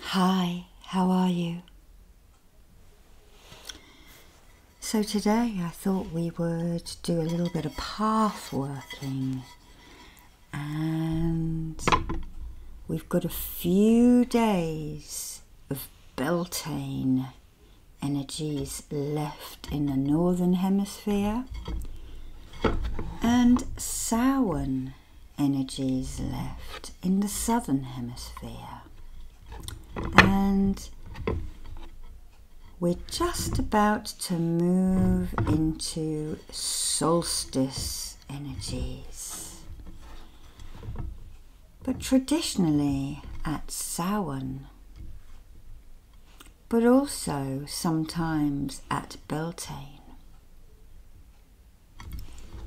Hi, how are you? So, today I thought we would do a little bit of path working, and we've got a few days of Beltane energies left in the northern hemisphere, and Samhain energies left in the southern hemisphere. And we're just about to move into solstice energies. But traditionally at Samhain, but also sometimes at Beltane.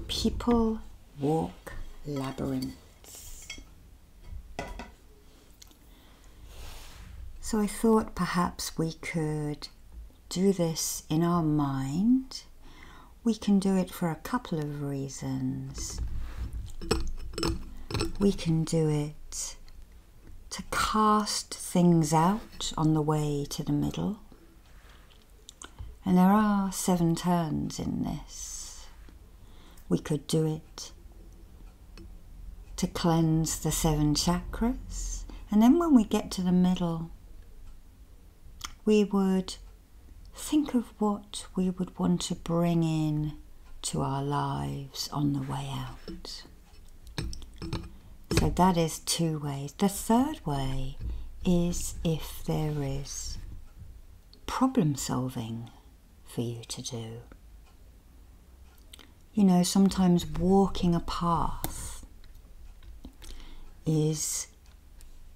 People walk labyrinths. So I thought perhaps we could do this in our mind. We can do it for a couple of reasons. We can do it to cast things out on the way to the middle and there are seven turns in this. We could do it to cleanse the seven chakras. And then when we get to the middle, we would think of what we would want to bring in to our lives on the way out. So that is two ways. The third way is if there is problem solving for you to do. You know, sometimes walking a path is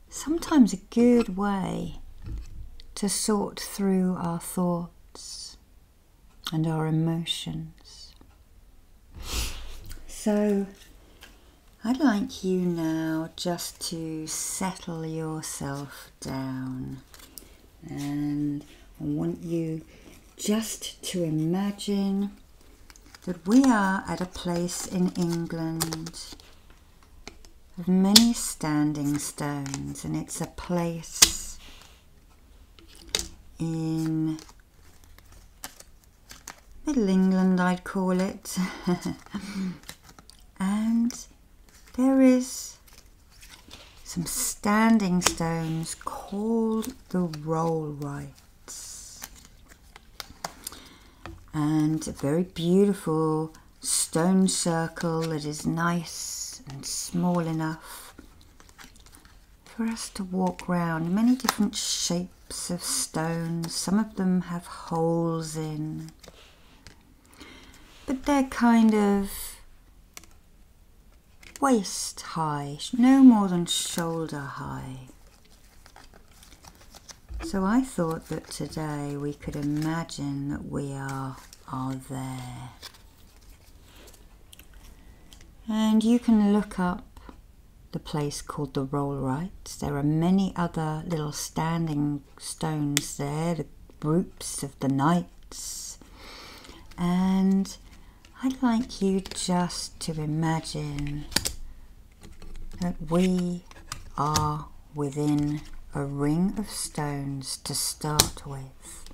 sometimes a good way to sort through our thoughts and our emotions. So, I'd like you now just to settle yourself down, and I want you just to imagine that we are at a place in England of many standing stones, and it's a place in Middle England, I'd call it. and there is some standing stones called the Roll Rollrights. And a very beautiful stone circle that is nice and small enough for us to walk round. Many different shapes of stones. Some of them have holes in. But they're kind of waist high, no more than shoulder high. So I thought that today we could imagine that we are, are there. And you can look up the place called the Rollrights. There are many other little standing stones there, the groups of the knights. And I'd like you just to imagine that we are within a ring of stones to start with.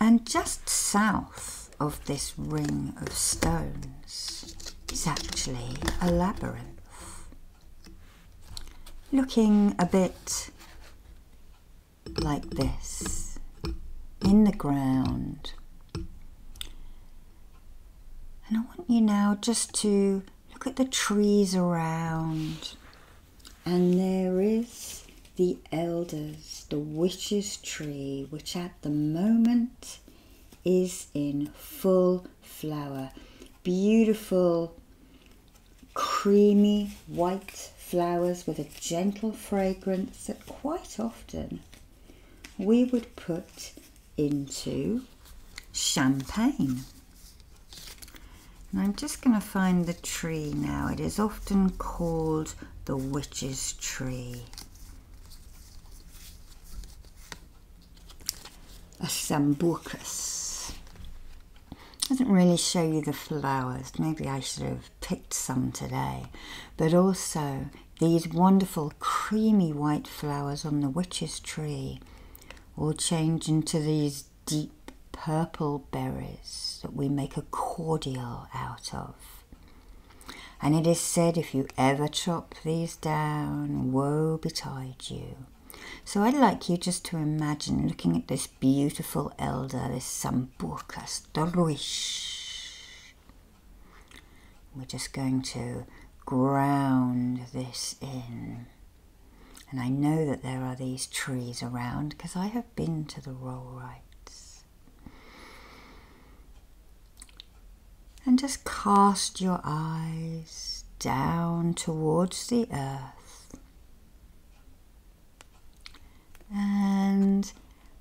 And just south of this ring of stones is actually a labyrinth, looking a bit like this in the ground. And I want you now just to look at the trees around and there is the elders, the witch's tree, which at the moment is in full flower. Beautiful, creamy white flowers with a gentle fragrance that quite often we would put into champagne. And I'm just going to find the tree now. It is often called the witch's tree. A sambucus. Doesn't really show you the flowers. Maybe I should have picked some today. But also these wonderful creamy white flowers on the witch's tree will change into these deep purple berries that we make a cordial out of. And it is said if you ever chop these down, woe betide you. So I'd like you just to imagine looking at this beautiful elder, this Sambuca Storuish. We're just going to ground this in. And I know that there are these trees around because I have been to the roll rights. And just cast your eyes down towards the earth. And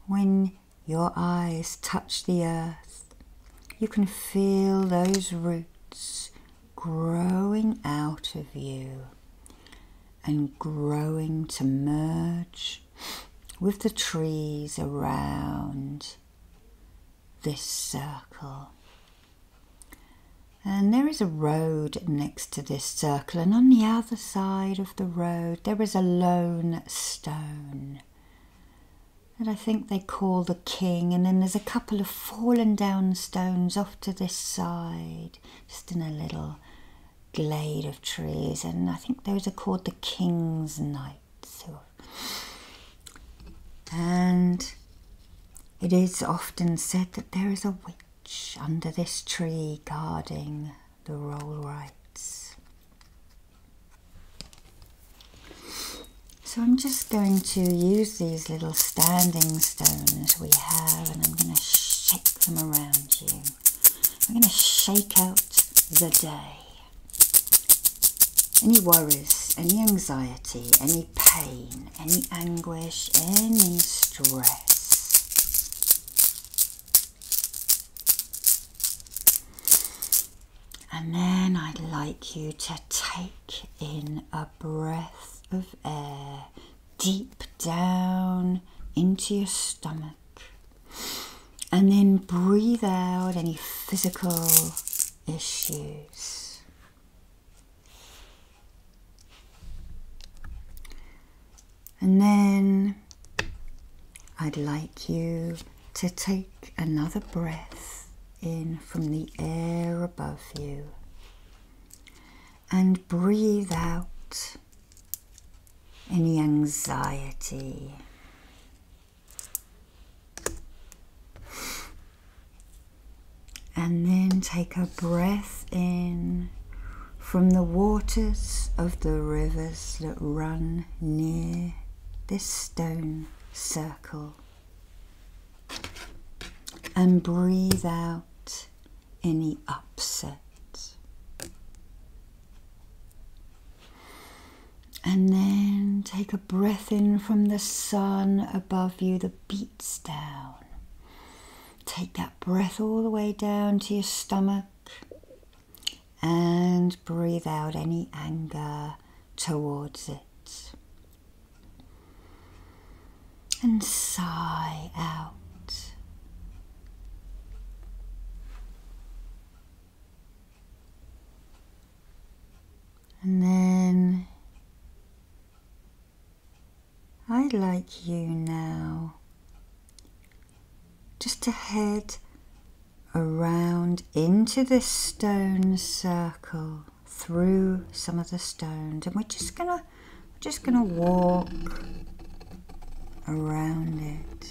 when your eyes touch the earth, you can feel those roots growing out of you and growing to merge with the trees around this circle. And there is a road next to this circle, and on the other side of the road, there is a lone stone that I think they call the king. And then there's a couple of fallen down stones off to this side just in a little glade of trees, and I think those are called the King's Knights. And it is often said that there is a witch under this tree guarding the roll rights. So I'm just going to use these little standings stones we have and I'm going to shake them around you. I'm going to shake out the day. Any worries, any anxiety, any pain, any anguish, any stress. And then I'd like you to take in a breath of air deep down into your stomach. And then breathe out any physical issues. And then I'd like you to take another breath in from the air above you and breathe out any anxiety. And then take a breath in from the waters of the rivers that run near this stone circle and breathe out any upset. And then take a breath in from the sun above you that beats down. Take that breath all the way down to your stomach and breathe out any anger towards it and sigh out. And then I'd like you now just to head around into this stone circle through some of the stones and we're just gonna we're just gonna walk around it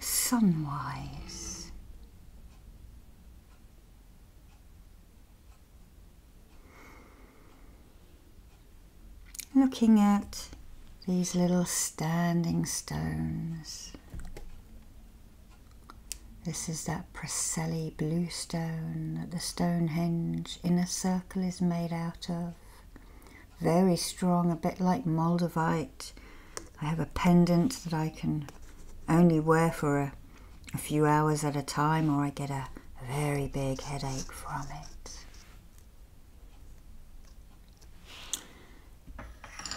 sunwise looking at these little standing stones. This is that Preseli blue stone that the Stonehenge inner circle is made out of. Very strong, a bit like Moldavite. I have a pendant that I can only wear for a few hours at a time or I get a very big headache from it.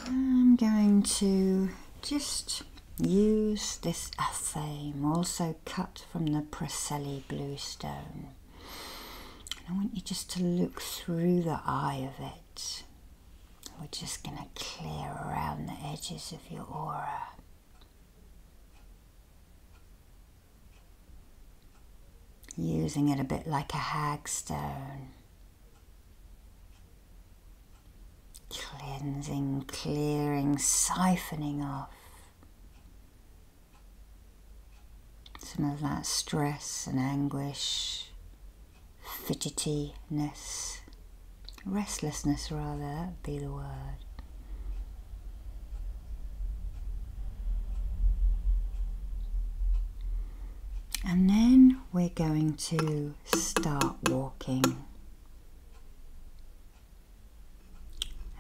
I'm going to just use this athame, also cut from the Preseli blue stone. I want you just to look through the eye of it. We're just going to clear around the edges of your aura using it a bit like a hagstone. Cleansing, clearing, siphoning off some of that stress and anguish, fidgetiness, restlessness rather, be the word. And then we're going to start walking.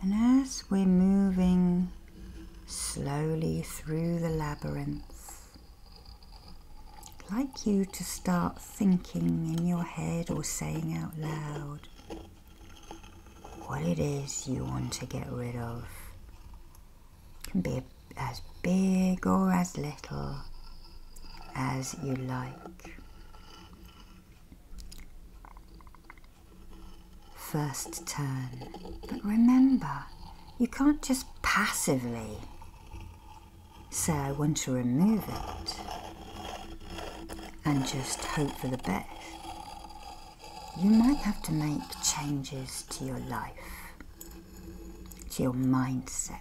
And as we're moving slowly through the labyrinth, I'd like you to start thinking in your head or saying out loud what it is you want to get rid of can be as big or as little as you like. First turn. But remember, you can't just passively say, I want to remove it and just hope for the best you might have to make changes to your life, to your mindset.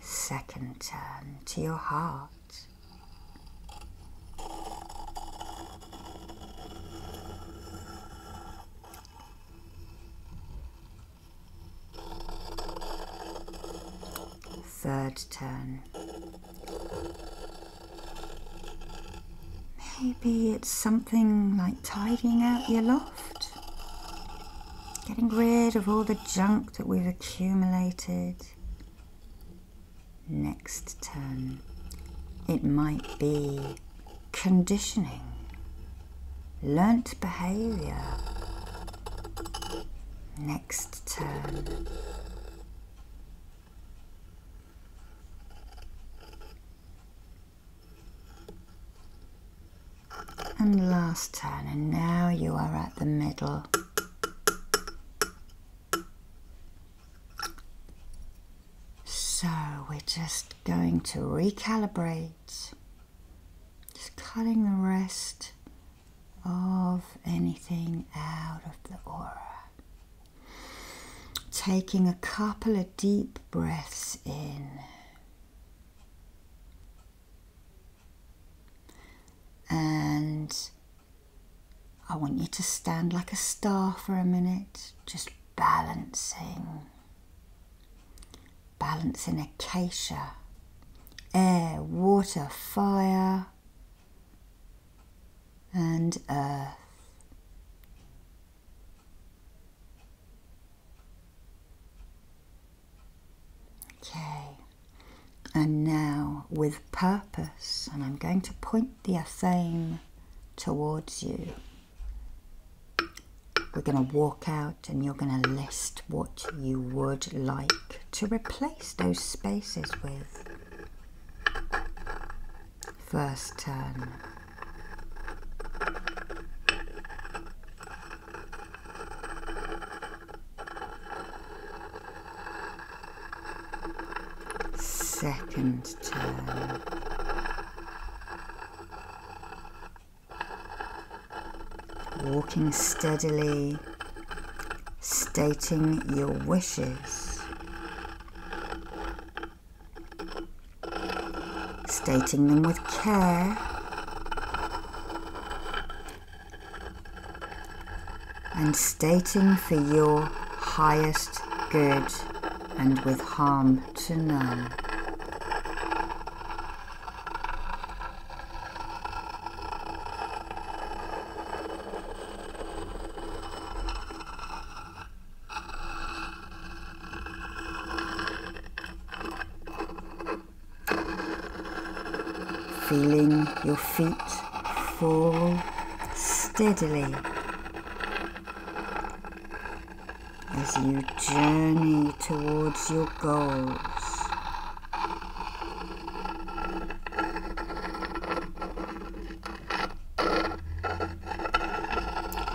Second turn to your heart. Third turn Maybe it's something like tidying out your loft, getting rid of all the junk that we've accumulated. Next turn, it might be conditioning, learnt behaviour. Next turn, and last turn, and now you are at the middle. So we're just going to recalibrate, just cutting the rest of anything out of the aura. Taking a couple of deep breaths in and I want you to stand like a star for a minute, just balancing, balancing acacia, air, water, fire, and earth. Okay, and now with purpose, and I'm going to point the athame towards you. We're going to walk out and you're going to list what you would like to replace those spaces with. First turn. Second turn. Walking steadily stating your wishes, stating them with care, and stating for your highest good and with harm to none. Feeling your feet fall steadily as you journey towards your goals.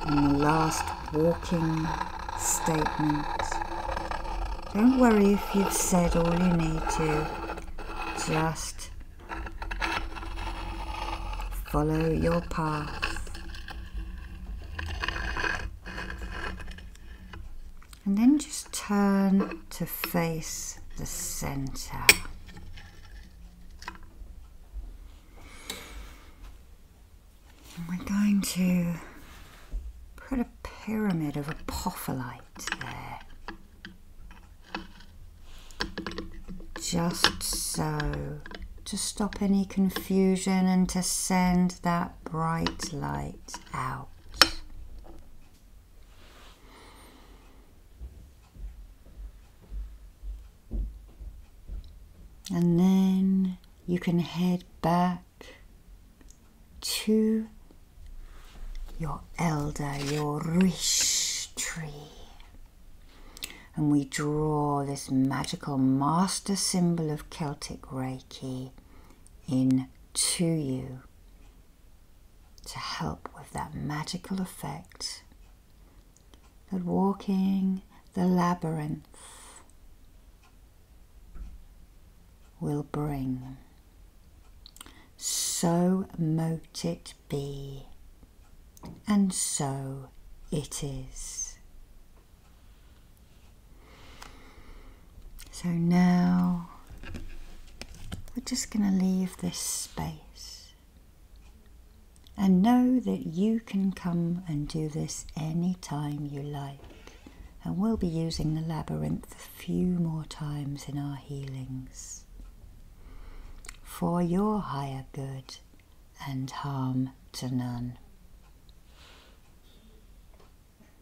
And last walking statement. Don't worry if you've said all you need to, just follow your path and then just turn to face the center. And we're going to put a pyramid of apophyllite there. Just so, to stop any confusion and to send that bright light out. And then you can head back to your elder, your rish tree. And we draw this magical master symbol of Celtic Reiki in to you to help with that magical effect that walking the labyrinth will bring. So mote it be, and so it is. So now we're just going to leave this space and know that you can come and do this anytime you like. And we'll be using the labyrinth a few more times in our healings for your higher good and harm to none.